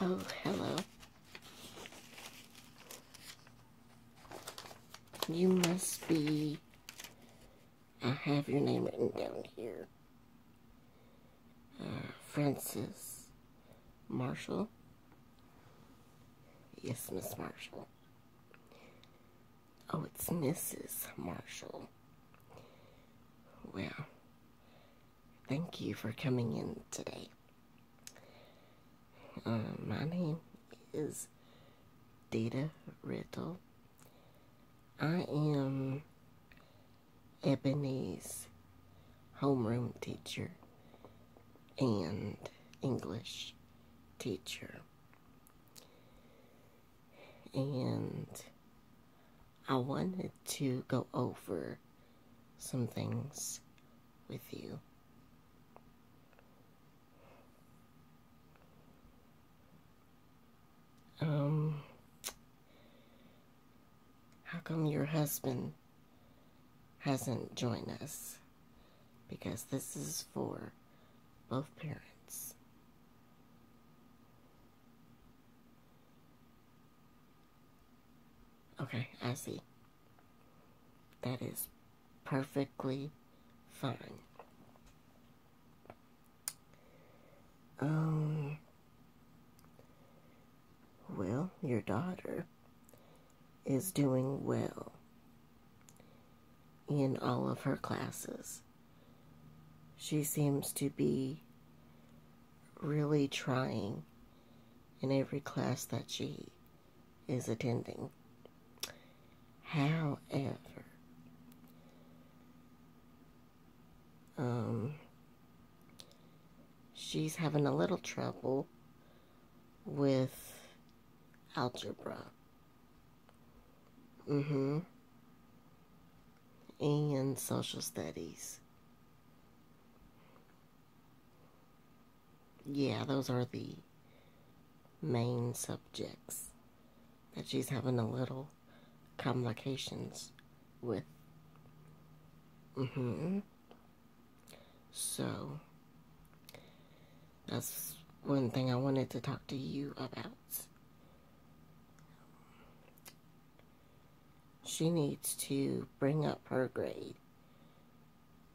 oh, hello. You must be, I have your name written down here, uh, Francis Marshall. Yes, Miss Marshall. Oh, it's Mrs. Marshall. Well, thank you for coming in today. Um, my name is Data Riddle. I am Ebony's homeroom teacher and English teacher. And I wanted to go over some things with you. Um, how come your husband hasn't joined us? Because this is for both parents. Okay, I see. That is perfectly fine. Um, well, your daughter is doing well in all of her classes. She seems to be really trying in every class that she is attending. However, um, she's having a little trouble with algebra. Mm hmm. And social studies yeah, those are the main subjects that she's having a little complications with. Mm hmm So, that's one thing I wanted to talk to you about. She needs to bring up her grade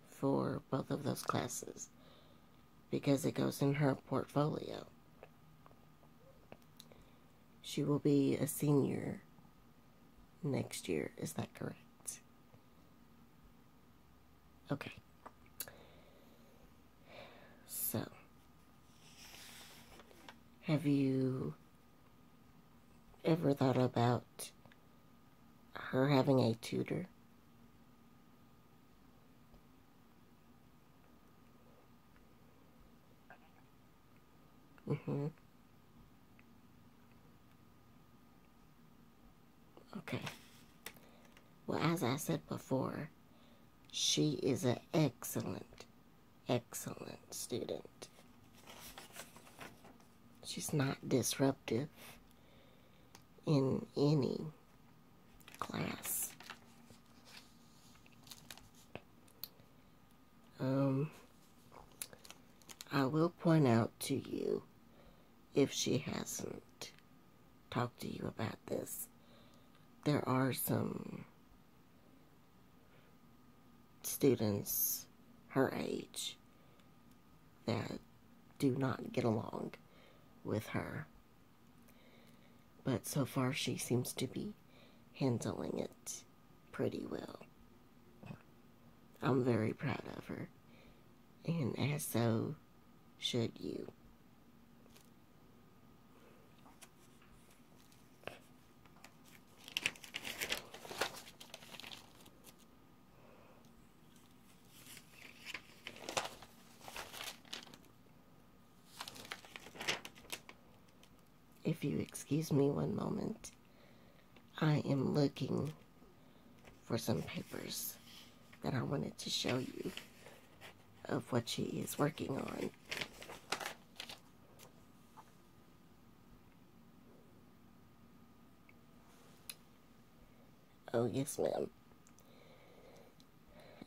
for both of those classes because it goes in her portfolio. She will be a senior next year. Is that correct? Okay. So, have you ever thought about her having a tutor. Mm-hmm. Okay. Well, as I said before, she is an excellent, excellent student. She's not disruptive in any class. Um, I will point out to you if she hasn't talked to you about this. There are some students her age that do not get along with her. But so far, she seems to be handling it pretty well. I'm very proud of her, and as so should you. If you excuse me one moment, I am looking for some papers that I wanted to show you of what she is working on. Oh, yes, ma'am.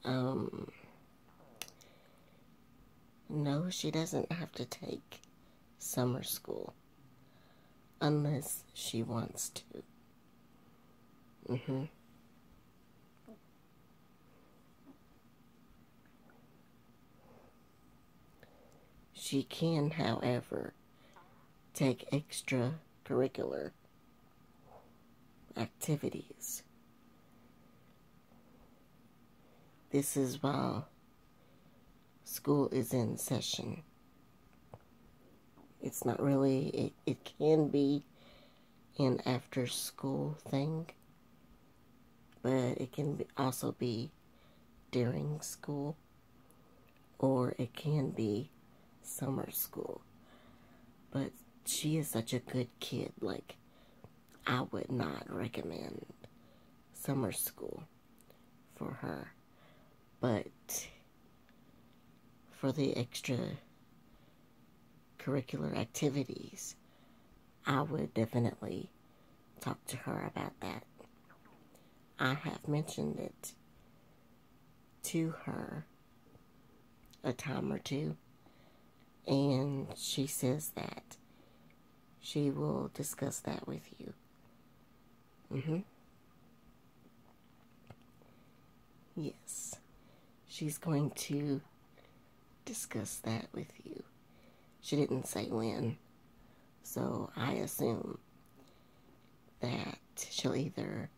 Um, no, she doesn't have to take summer school unless she wants to. Mm hmm. She can, however, take extracurricular activities. This is while school is in session. It's not really, it, it can be an after school thing, but it can also be during school, or it can be summer school. But she is such a good kid, like, I would not recommend summer school for her. But for the extra curricular activities, I would definitely talk to her about that. I have mentioned it to her a time or two, and she says that she will discuss that with you. Mm-hmm. Yes, she's going to discuss that with you. She didn't say when, so I assume that she'll either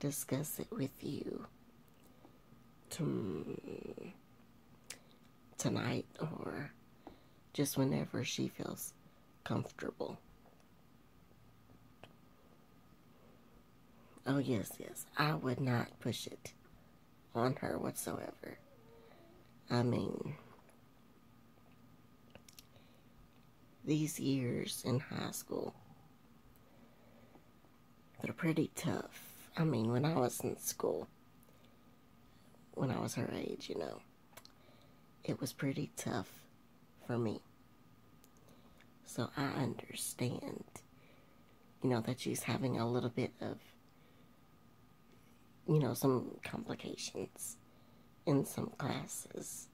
discuss it with you tonight or just whenever she feels comfortable. Oh, yes, yes, I would not push it on her whatsoever. I mean, these years in high school, they're pretty tough. I mean, when I was in school, when I was her age, you know, it was pretty tough for me. So I understand, you know, that she's having a little bit of you know, some complications in some classes.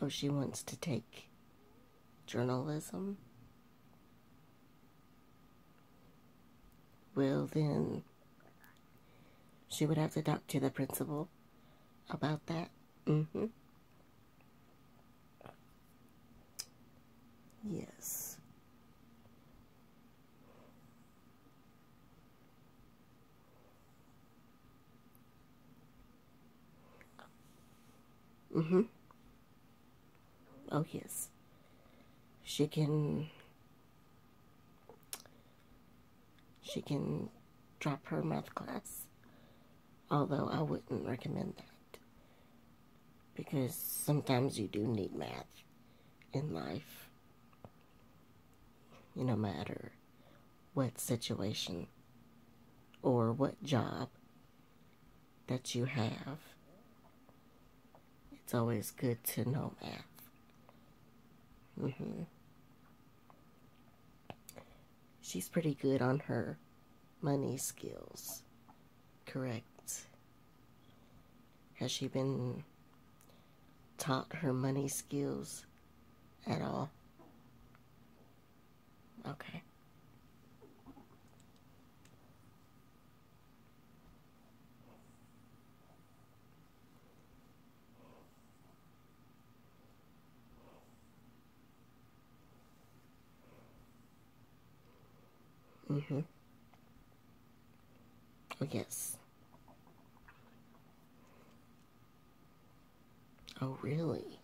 Oh, she wants to take journalism? Well, then, she would have to talk to the principal about that. Mm-hmm. Yes. Mm-hmm. Oh, yes. She can... She can drop her math class Although I wouldn't recommend that. Because sometimes you do need math in life. No matter what situation or what job that you have. It's always good to know math. Mm -hmm. She's pretty good on her money skills. Correct. Has she been taught her money skills at all? Okay. Mm-hmm. Oh, yes. Oh, really?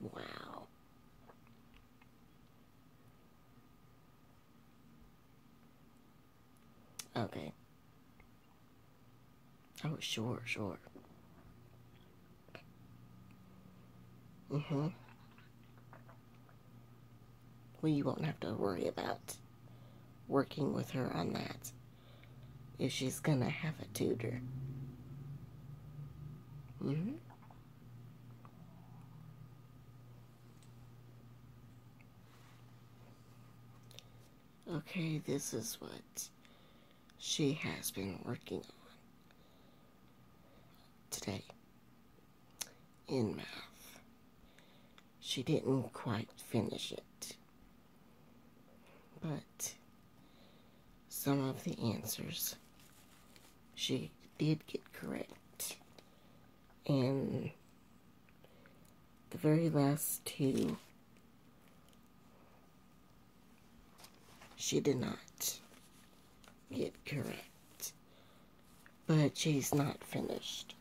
Wow. Okay. Oh, sure, sure. Uh mm-hmm. huh. Well, you won't have to worry about working with her on that if she's gonna have a tutor. Mm-hmm. Okay, this is what she has been working on today in math. She didn't quite finish it, but some of the answers she did get correct, and the very last two, she did not get correct. But she's not finished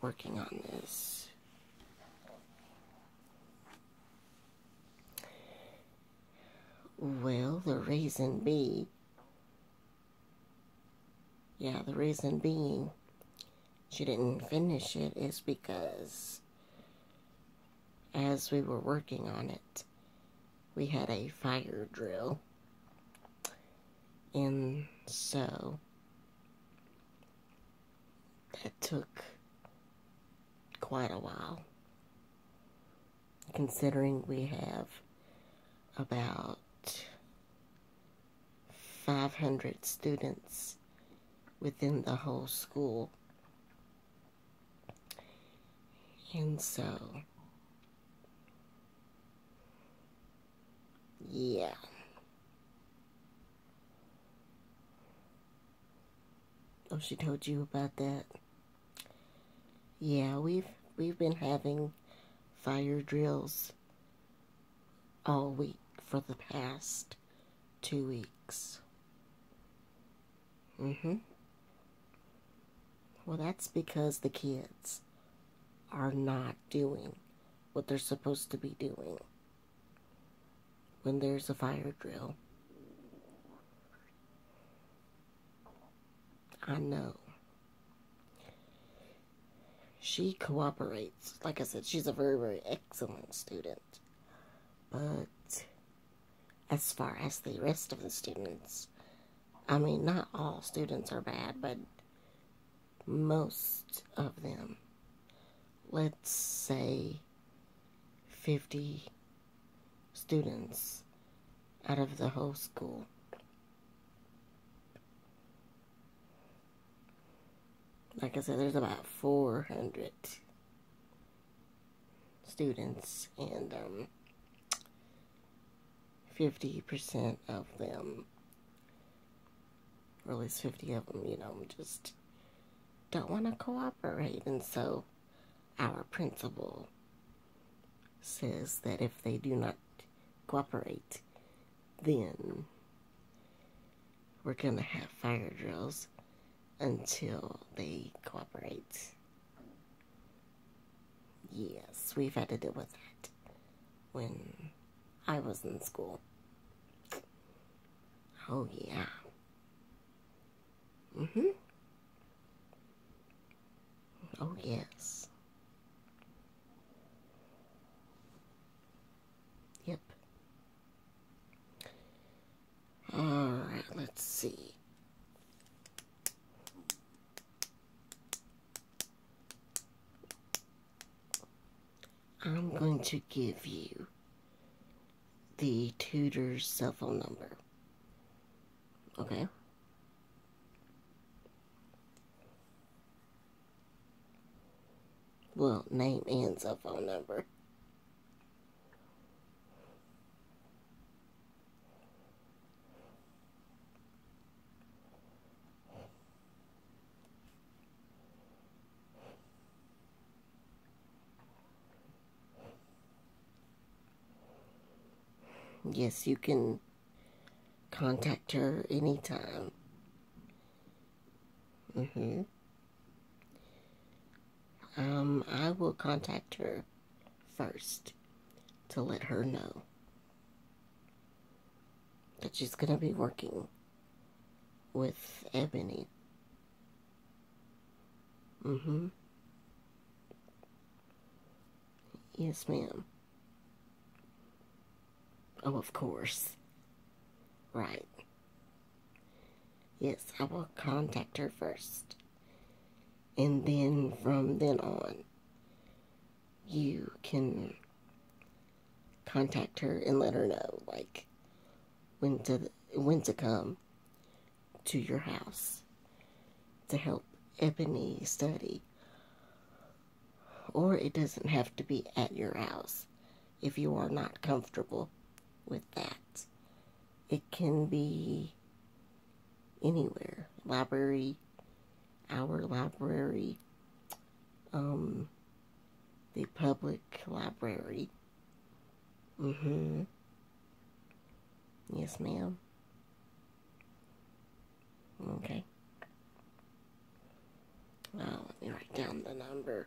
working on this. Well, the reason be, yeah, the reason being she didn't finish it is because as we were working on it, we had a fire drill. And so that took quite a while, considering we have about 500 students within the whole school. And so, yeah. Oh, she told you about that. Yeah, we've we've been having fire drills all week for the past two weeks. Mm hmm. Well, that's because the kids are not doing what they're supposed to be doing when there's a fire drill. I know. She cooperates. Like I said, she's a very, very excellent student. But as far as the rest of the students, I mean, not all students are bad, but most of them, let's say 50 students out of the whole school, like I said, there's about 400 students, and 50% um, of them, or at least 50 of them, you know, just don't want to cooperate. And so our principal says that if they do not cooperate, then we're going to have fire drills until they cooperate. Yes, we've had to deal with that when I was in school. Oh, yeah. Mm-hmm. Oh, yes. Yep. Alright, let's see. I'm going to give you the tutor's cell phone number. Okay? Well, name and cell phone number. Yes, you can contact her anytime. Mm-hmm. Um, I will contact her first to let her know that she's going to be working with Ebony. Mm-hmm. Yes, ma'am. Oh, of course. Right. Yes, I will contact her first. And then from then on, you can contact her and let her know, like, when to, when to come to your house to help Ebony study or it doesn't have to be at your house if you are not comfortable with that. It can be anywhere. Library, our library, um, the public library. Mm-hmm. Yes, ma'am. Okay. Now let me write down the number.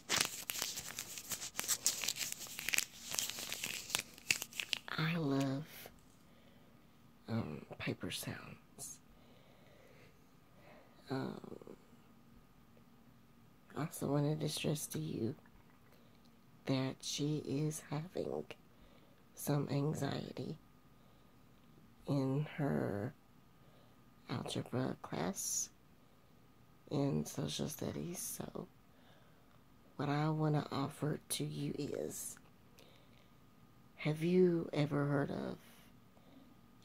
I love um, paper sounds. I um, also wanted to stress to you that she is having some anxiety in her algebra class in social studies. So, what I want to offer to you is have you ever heard of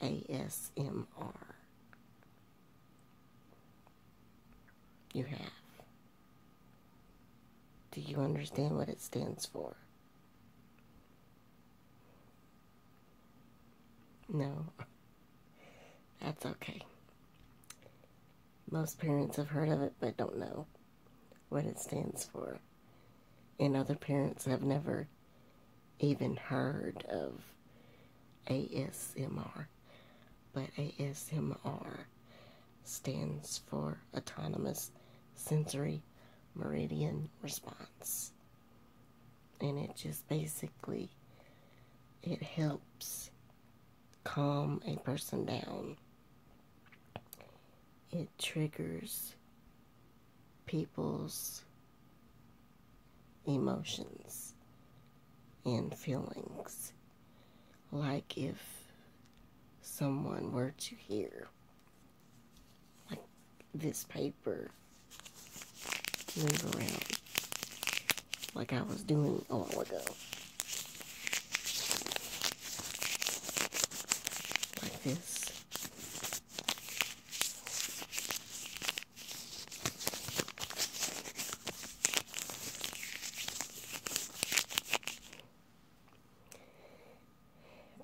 ASMR? You have. Do you understand what it stands for? No. That's okay. Most parents have heard of it but don't know what it stands for. And other parents have never even heard of ASMR. But ASMR stands for Autonomous Sensory Meridian Response. And it just basically, it helps calm a person down. It triggers people's emotions and feelings. Like if someone were to hear, like this paper move around, like I was doing a while ago. Like this.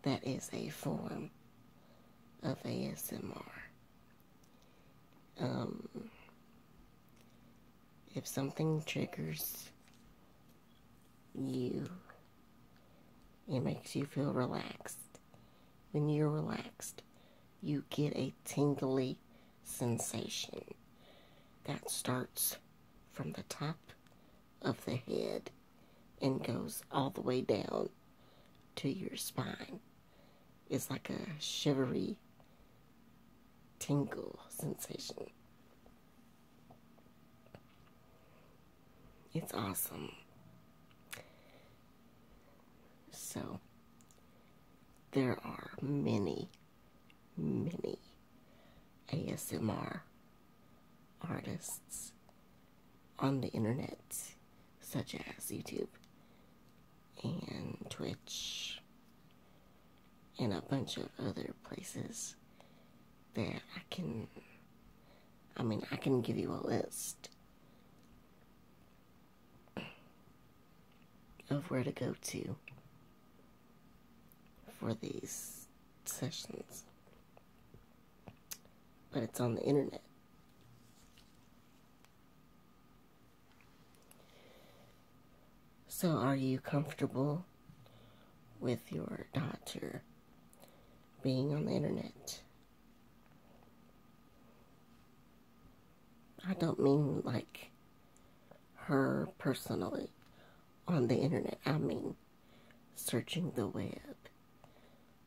That is a form of ASMR. Um, if something triggers you, it makes you feel relaxed. When you're relaxed, you get a tingly sensation that starts from the top of the head and goes all the way down to your spine. It's like a shivery tingle sensation. It's awesome. So, there are many, many ASMR artists on the internet such as YouTube and Twitch and a bunch of other places that I can I mean I can give you a list of where to go to for these sessions but it's on the internet so, are you comfortable with your daughter being on the internet? I don't mean like her personally on the internet, I mean searching the web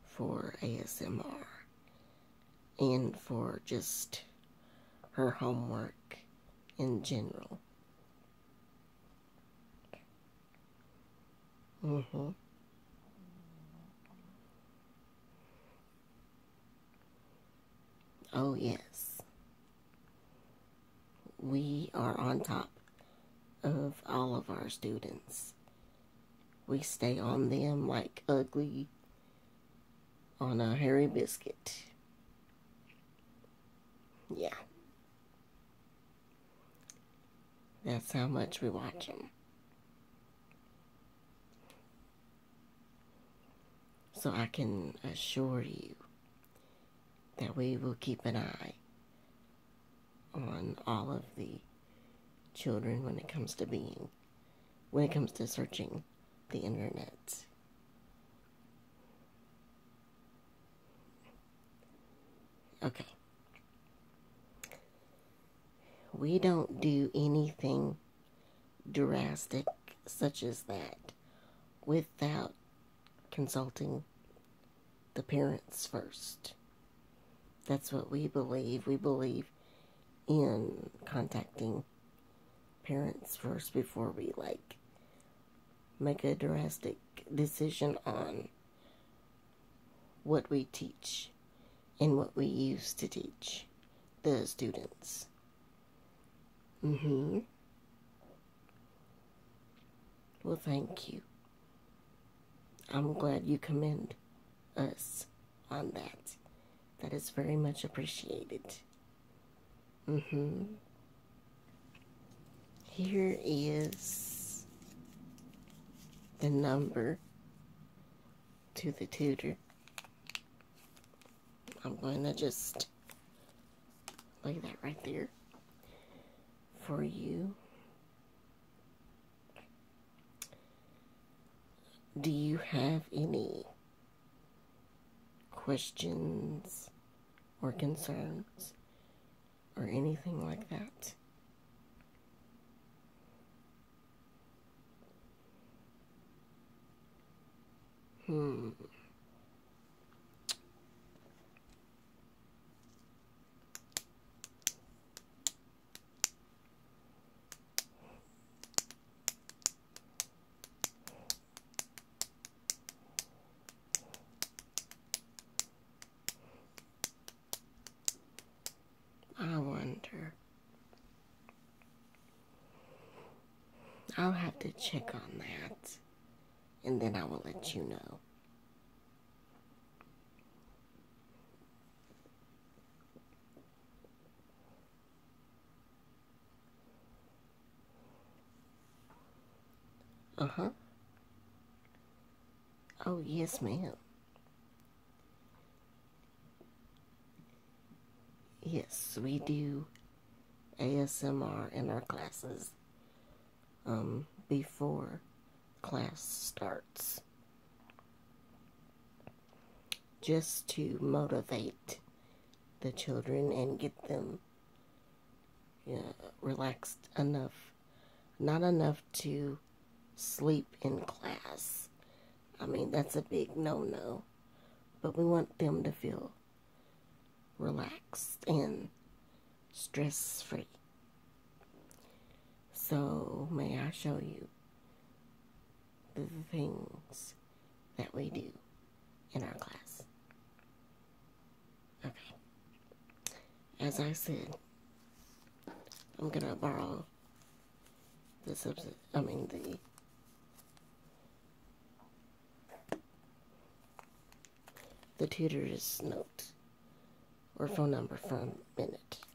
for ASMR and for just her homework in general. Mm-hmm. Oh, yes. We are on top of all of our students. We stay on them like ugly on a hairy biscuit. Yeah. That's how much we watch them. So I can assure you that we will keep an eye on all of the children when it comes to being when it comes to searching the internet. Okay. We don't do anything drastic such as that without consulting the parents first. That's what we believe. We believe believe in contacting parents first before we like make a drastic decision on what we teach and what we use to teach the students. Mm-hmm. Well, thank you. I'm glad you commend us on that. That is very much appreciated. Mm hmm. Here is the number to the tutor. I'm going to just lay that right there for you do you have any questions or concerns or anything like that? Hmm. I wonder. I'll have to check on that and then I will let you know. Uh-huh. Oh, yes, ma'am. Yes, we do ASMR in our classes um, before class starts just to motivate the children and get them relaxed enough, not enough to sleep in class. I mean, that's a big no-no, but we want them to feel relaxed and stress-free. So, may I show you the things that we do in our class. Okay. As I said, I'm gonna borrow the subset, I mean the the tutor's note or phone number from Minute.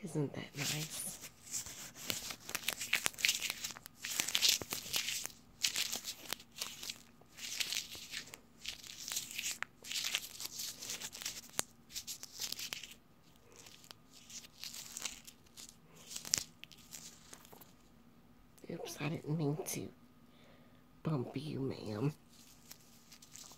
Isn't that nice? Oops, I didn't mean to bump you, ma'am.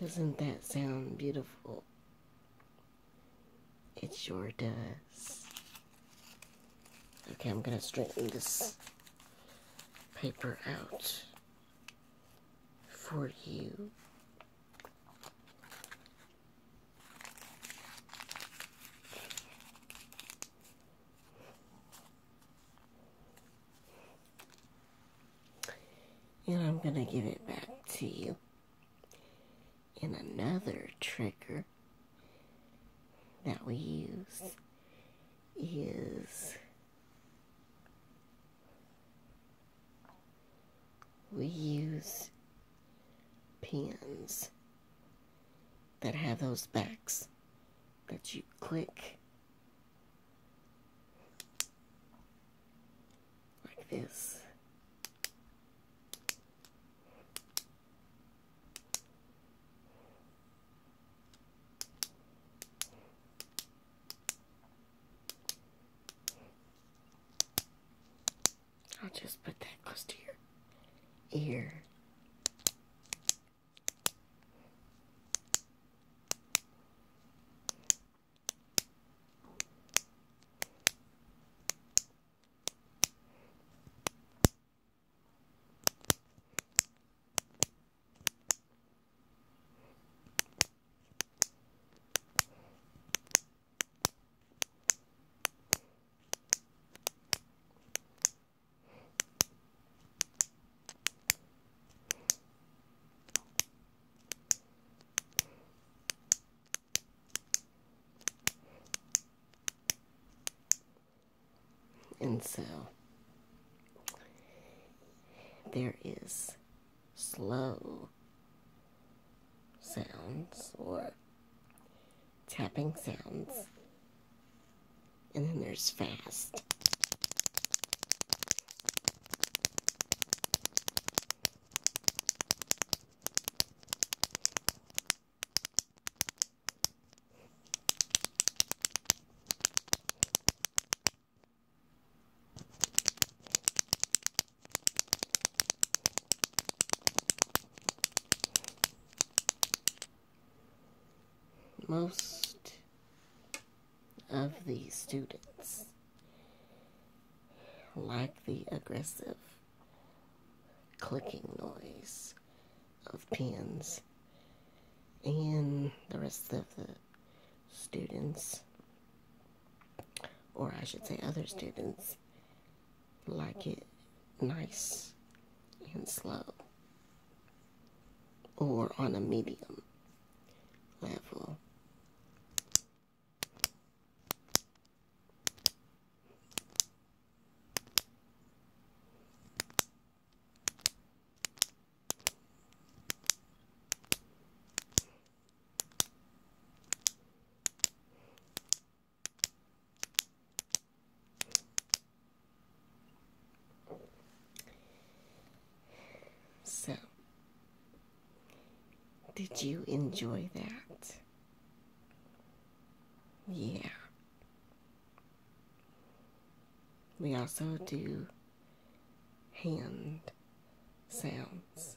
Doesn't that sound beautiful? It sure does. Okay, I'm gonna straighten this paper out for you. And I'm going to give it back to you And another trigger that we use is we use pens that have those backs that you click like this. I'll just put that close to your ear. And so there is slow sounds or tapping sounds, and then there's fast. Most of the students like the aggressive clicking noise of pens and the rest of the students or I should say, other students like it nice and slow or on a medium level. So, did you enjoy that? Yeah. We also do hand sounds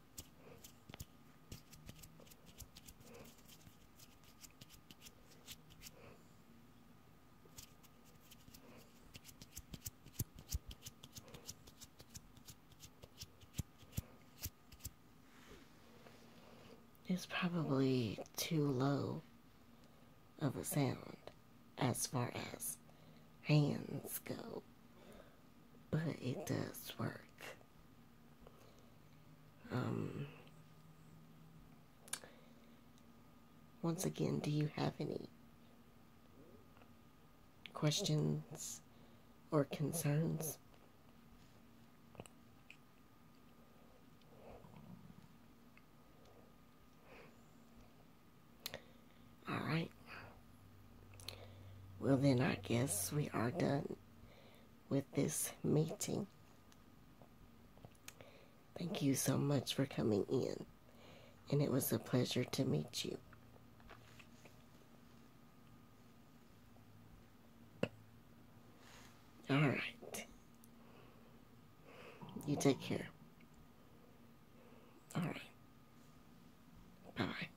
It's probably too low of a sound as far as hands go, but it does work. Um, once again, do you have any questions or concerns? All right. Well, then, I guess we are done with this meeting. Thank you so much for coming in, and it was a pleasure to meet you. All right. You take care. All right. Bye.